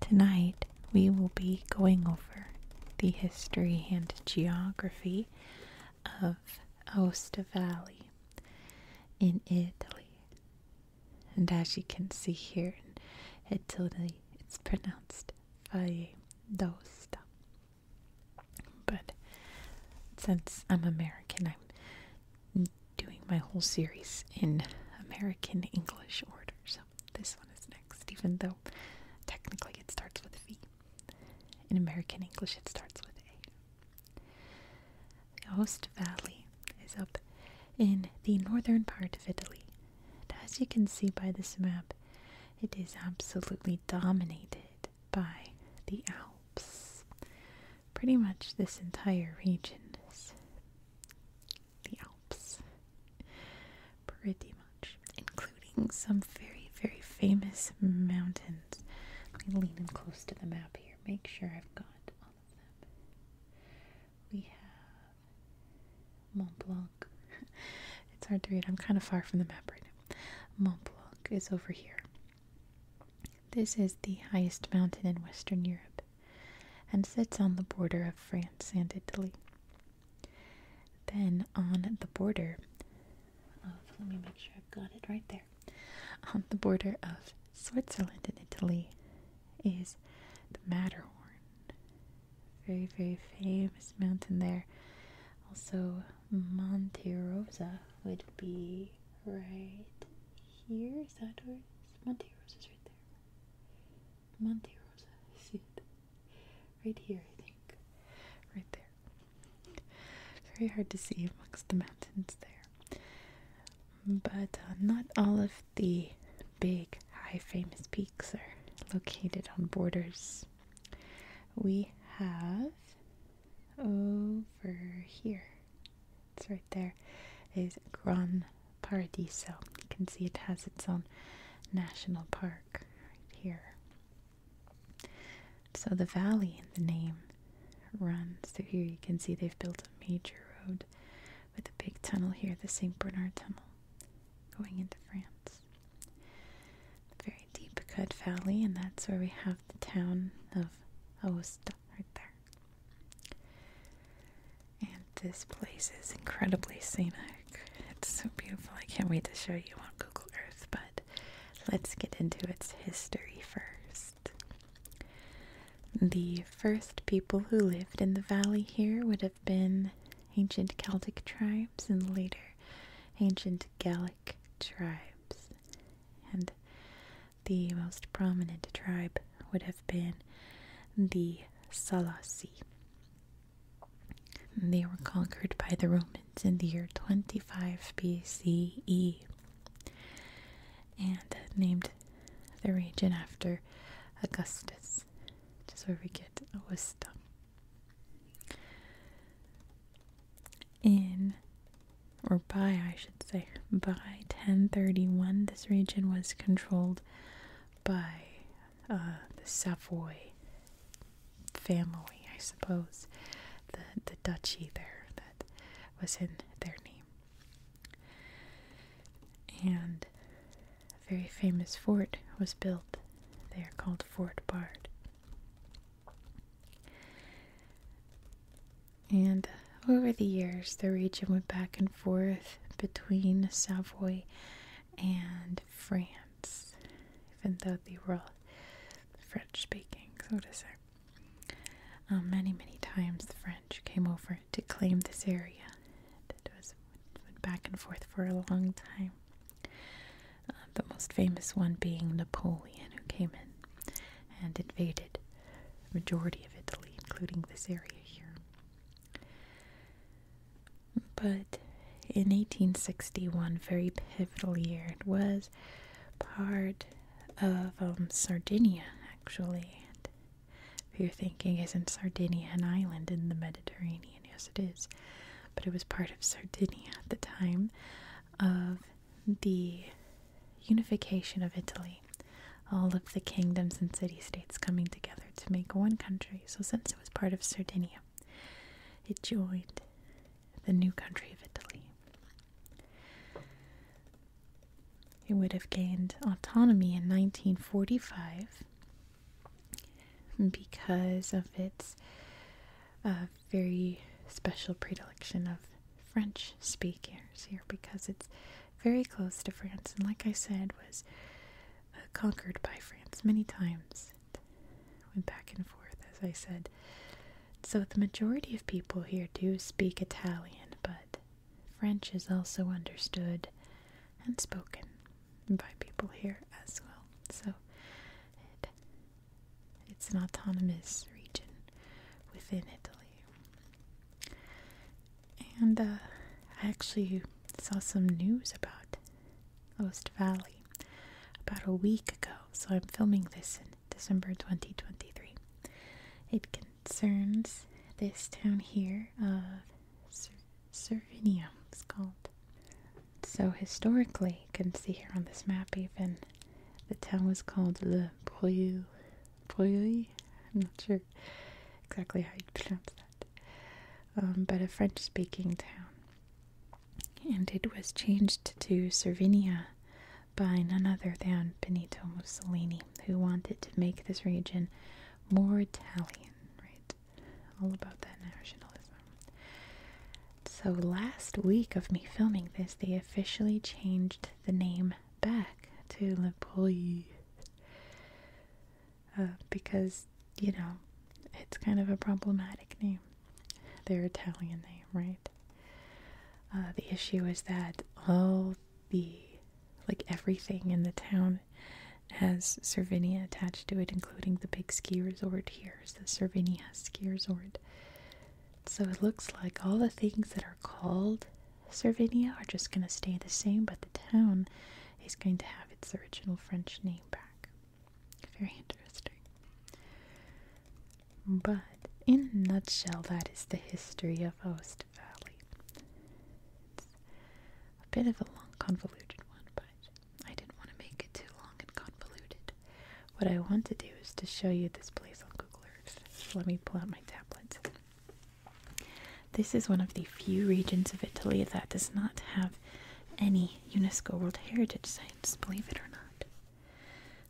Tonight we will be going over the history and geography of Aosta Valley in Italy. And as you can see here Italy, it's pronounced Valle d'Aosta. But since I'm American, I'm doing my whole series in American English order. So this one is next, even though technically it starts with V. In American English, it starts with A. The Ost Valley is up in the northern part of Italy, and as you can see by this map, it is absolutely dominated by the Alps. Pretty much this entire region the Alps. Pretty much. Including some very, very famous mountains. I me lean in close to the map here. Make sure I've got all of them. We have Mont Blanc. it's hard to read. I'm kind of far from the map right now. Mont Blanc is over here. This is the highest mountain in Western Europe and sits on the border of France and Italy. Then on the border of, Switzerland and Italy is the Matterhorn. Very, very famous mountain there. Also, Monte Rosa would be right here. Is that where Monte Rosa is right there? Monte Rosa. see it. Right here, I think. Right there. Very hard to see amongst the mountains there. But uh, not all of the big, high, famous peaks are located on borders. We have over here it's right there, is Gran Paradiso. You can see it has its own national park right here. So the valley in the name runs through here. You can see they've built a major road with a big tunnel here, the St. Bernard Tunnel, going into France. very deep cut valley, and that's where we have the town of Aosta right there. And this place is incredibly scenic. It's so beautiful. I can't wait to show you on Google Earth, but let's get into its history first. The first people who lived in the valley here would have been ancient Celtic tribes and later ancient Gallic tribes. And the most prominent tribe would have been the Salassi. They were conquered by the Romans in the year 25 BCE and named the region after Augustus, which is where we get Augusta. In or by I should say, by 1031, this region was controlled by uh, the Savoy family, I suppose, the, the duchy there that was in their name. And a very famous fort was built there called Fort Bard. And over the years, the region went back and forth between Savoy and France, even though they were all French speaking, so to say. Um, many, many times the French came over to claim this area. It was went back and forth for a long time. Uh, the most famous one being Napoleon, who came in and invaded majority of Italy, including this area here. But in 1861, very pivotal year, it was part of um, Sardinia, actually. if you're thinking, it's not Sardinia an island in the Mediterranean? Yes, it is. But it was part of Sardinia at the time of the unification of Italy, all of the kingdoms and city states coming together to make one country. So, since it was part of Sardinia, it joined the new country of Italy. It would have gained autonomy in 1945 because of its uh, very special predilection of French speakers here because it's very close to France and like I said was uh, conquered by France many times. It went back and forth as I said. So the majority of people here do speak Italian, but French is also understood and spoken by people here as well. So it's an autonomous region within Italy. And uh, I actually saw some news about Ost Valley about a week ago, so I'm filming this in December 2023. It concerns this town here of uh, Cervinia, it's called. So historically, you can see here on this map even the town was called Le Broye. Breuil? I'm not sure exactly how you pronounce that. Um, but a French speaking town. And it was changed to Servinia by none other than Benito Mussolini, who wanted to make this region more Italian, right? All about that nationalism. So, last week of me filming this, they officially changed the name back to Le Pouille. Uh, because, you know, it's kind of a problematic name. Their Italian name, right? Uh, the issue is that all the, like everything in the town has Cervinia attached to it, including the big ski resort here, the Cervinia Ski Resort. So it looks like all the things that are called Cervinia are just going to stay the same, but the town is going to have its original French name back. Very interesting. But in a nutshell, that is the history of Ost Valley. a bit of a long, convoluted one, but I didn't want to make it too long and convoluted. What I want to do is to show you this place on Google Earth. let me pull out my tablet. This is one of the few regions of Italy that does not have any UNESCO World Heritage sites, believe it or not.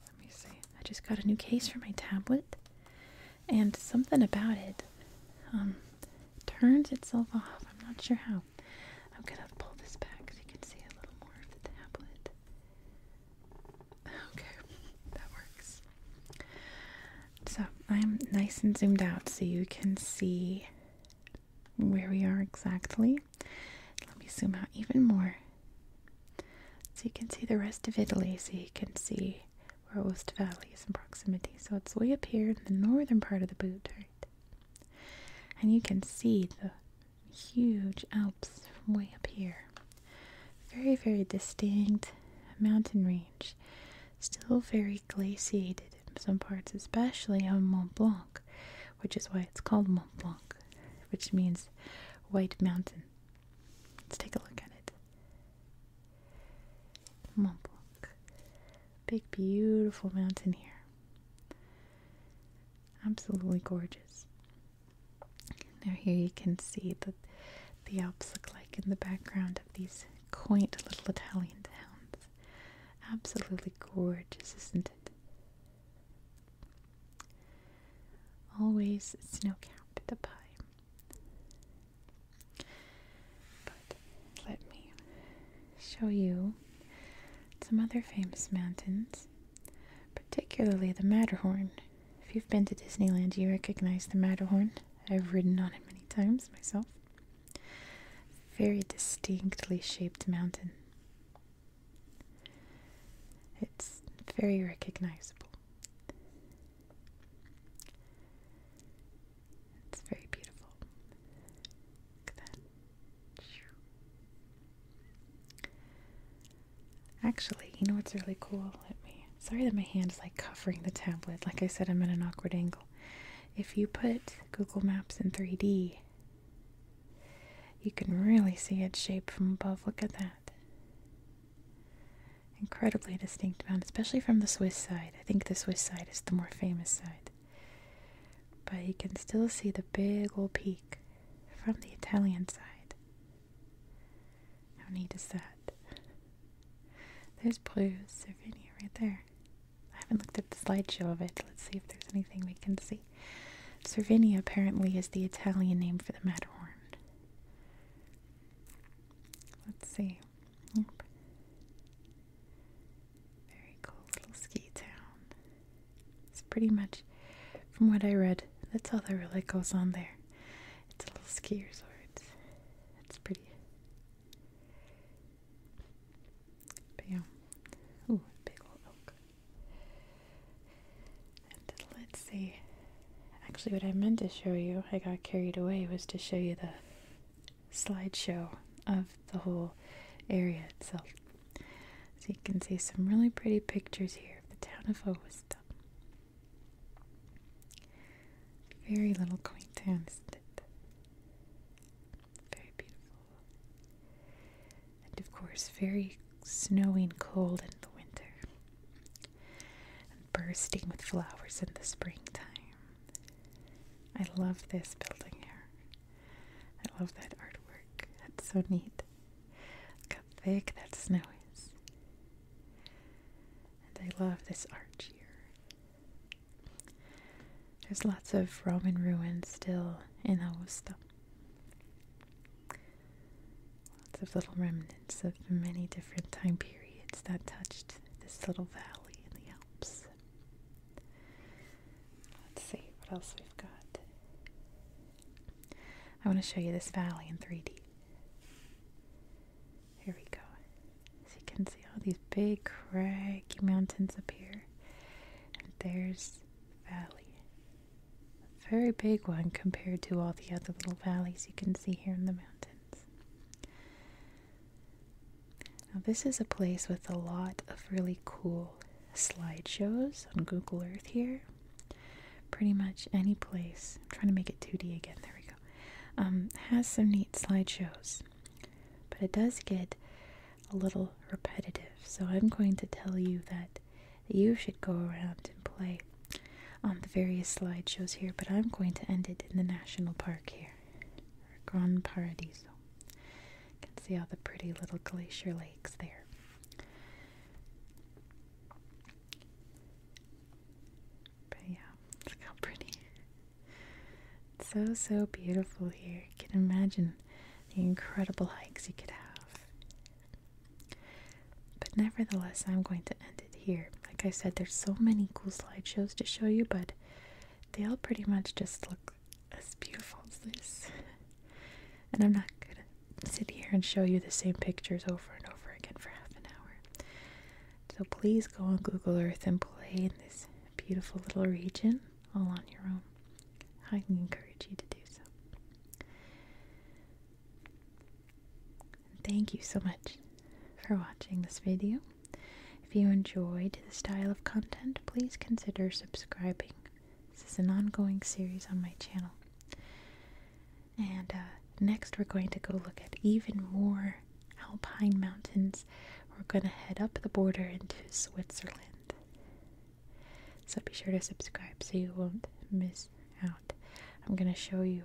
Let me see. I just got a new case for my tablet, and something about it um, turns itself off. I'm not sure how. I'm gonna pull this back so you can see a little more of the tablet. Okay, that works. So I'm nice and zoomed out so you can see where we are exactly. Let me zoom out even more so you can see the rest of Italy, so you can see where Oost Valley is in proximity. So it's way up here in the northern part of the boot, right? And you can see the huge Alps from way up here. Very, very distinct mountain range. Still very glaciated in some parts, especially on Mont Blanc, which is why it's called Mont Blanc, which means white mountain. Let's take a look at it. Mont Blanc. Big, beautiful mountain here. Absolutely gorgeous. Now here you can see that the Alps look like in the background of these quaint little Italian towns. Absolutely gorgeous, isn't it? Always snow-capped the high. But let me show you some other famous mountains, particularly the Matterhorn. If you've been to Disneyland, you recognize the Matterhorn. I've ridden on it many times myself. Very distinctly shaped mountain. It's very recognizable. It's very beautiful. Actually, you know what's really cool? Let me. Sorry that my hand is like covering the tablet. Like I said, I'm at an awkward angle. If you put Google Maps in 3D, you can really see its shape from above. Look at that. Incredibly distinct mountain, especially from the Swiss side. I think the Swiss side is the more famous side but you can still see the big old peak from the Italian side. How neat is that? There's Bruges, Slovenia, right there. I haven't looked at the slideshow of it. Let's see if there's anything we can see. Cervinia apparently is the Italian name for the Matterhorn. Let's see. Very cool little ski town. It's pretty much, from what I read, that's all that really goes on there. It's a little ski resort. It's, pretty. But yeah. Ooh, big old oak. And let's see. Actually, what I meant to show you, I got carried away, was to show you the Slide show of the whole area itself. So you can see some really pretty pictures here of the town of Owastum. Very little quaint town, isn't it? Very beautiful. And of course, very snowy and cold in the winter. And bursting with flowers in the springtime. I love this building here. I love that artwork. That's so neat. how thick that snow is. And I love this arch here. There's lots of Roman ruins still in Aosta. Lots of little remnants of many different time periods that touched this little valley in the Alps. Let's see what else we've got. I want to show you this valley in 3D. Here we go. So you can see all these big craggy mountains up here. And there's the valley. very big one compared to all the other little valleys you can see here in the mountains. Now, this is a place with a lot of really cool slideshows on Google Earth here. Pretty much any place, I'm trying to make it 2D again, there we go, um, has some neat slideshows. But it does get a little repetitive, so I'm going to tell you that you should go around and play on um, the various slideshows here, but I'm going to end it in the national park here. Grand Paradiso. You can see all the pretty little glacier lakes there. But yeah, look how pretty. so, so beautiful here. You can imagine the incredible hikes you could have. But nevertheless, I'm going to end it here. Like I said, there's so many cool slideshows to show you, but they all pretty much just look as beautiful as this. And I'm not gonna sit here and show you the same pictures over and over again for half an hour. So please go on Google Earth and play in this beautiful little region all on your own. I encourage you to do so. Thank you so much for watching this video. If you enjoyed the style of content, please consider subscribing. This is an ongoing series on my channel. And uh, next, we're going to go look at even more alpine mountains. We're going to head up the border into Switzerland. So be sure to subscribe so you won't miss out. I'm going to show you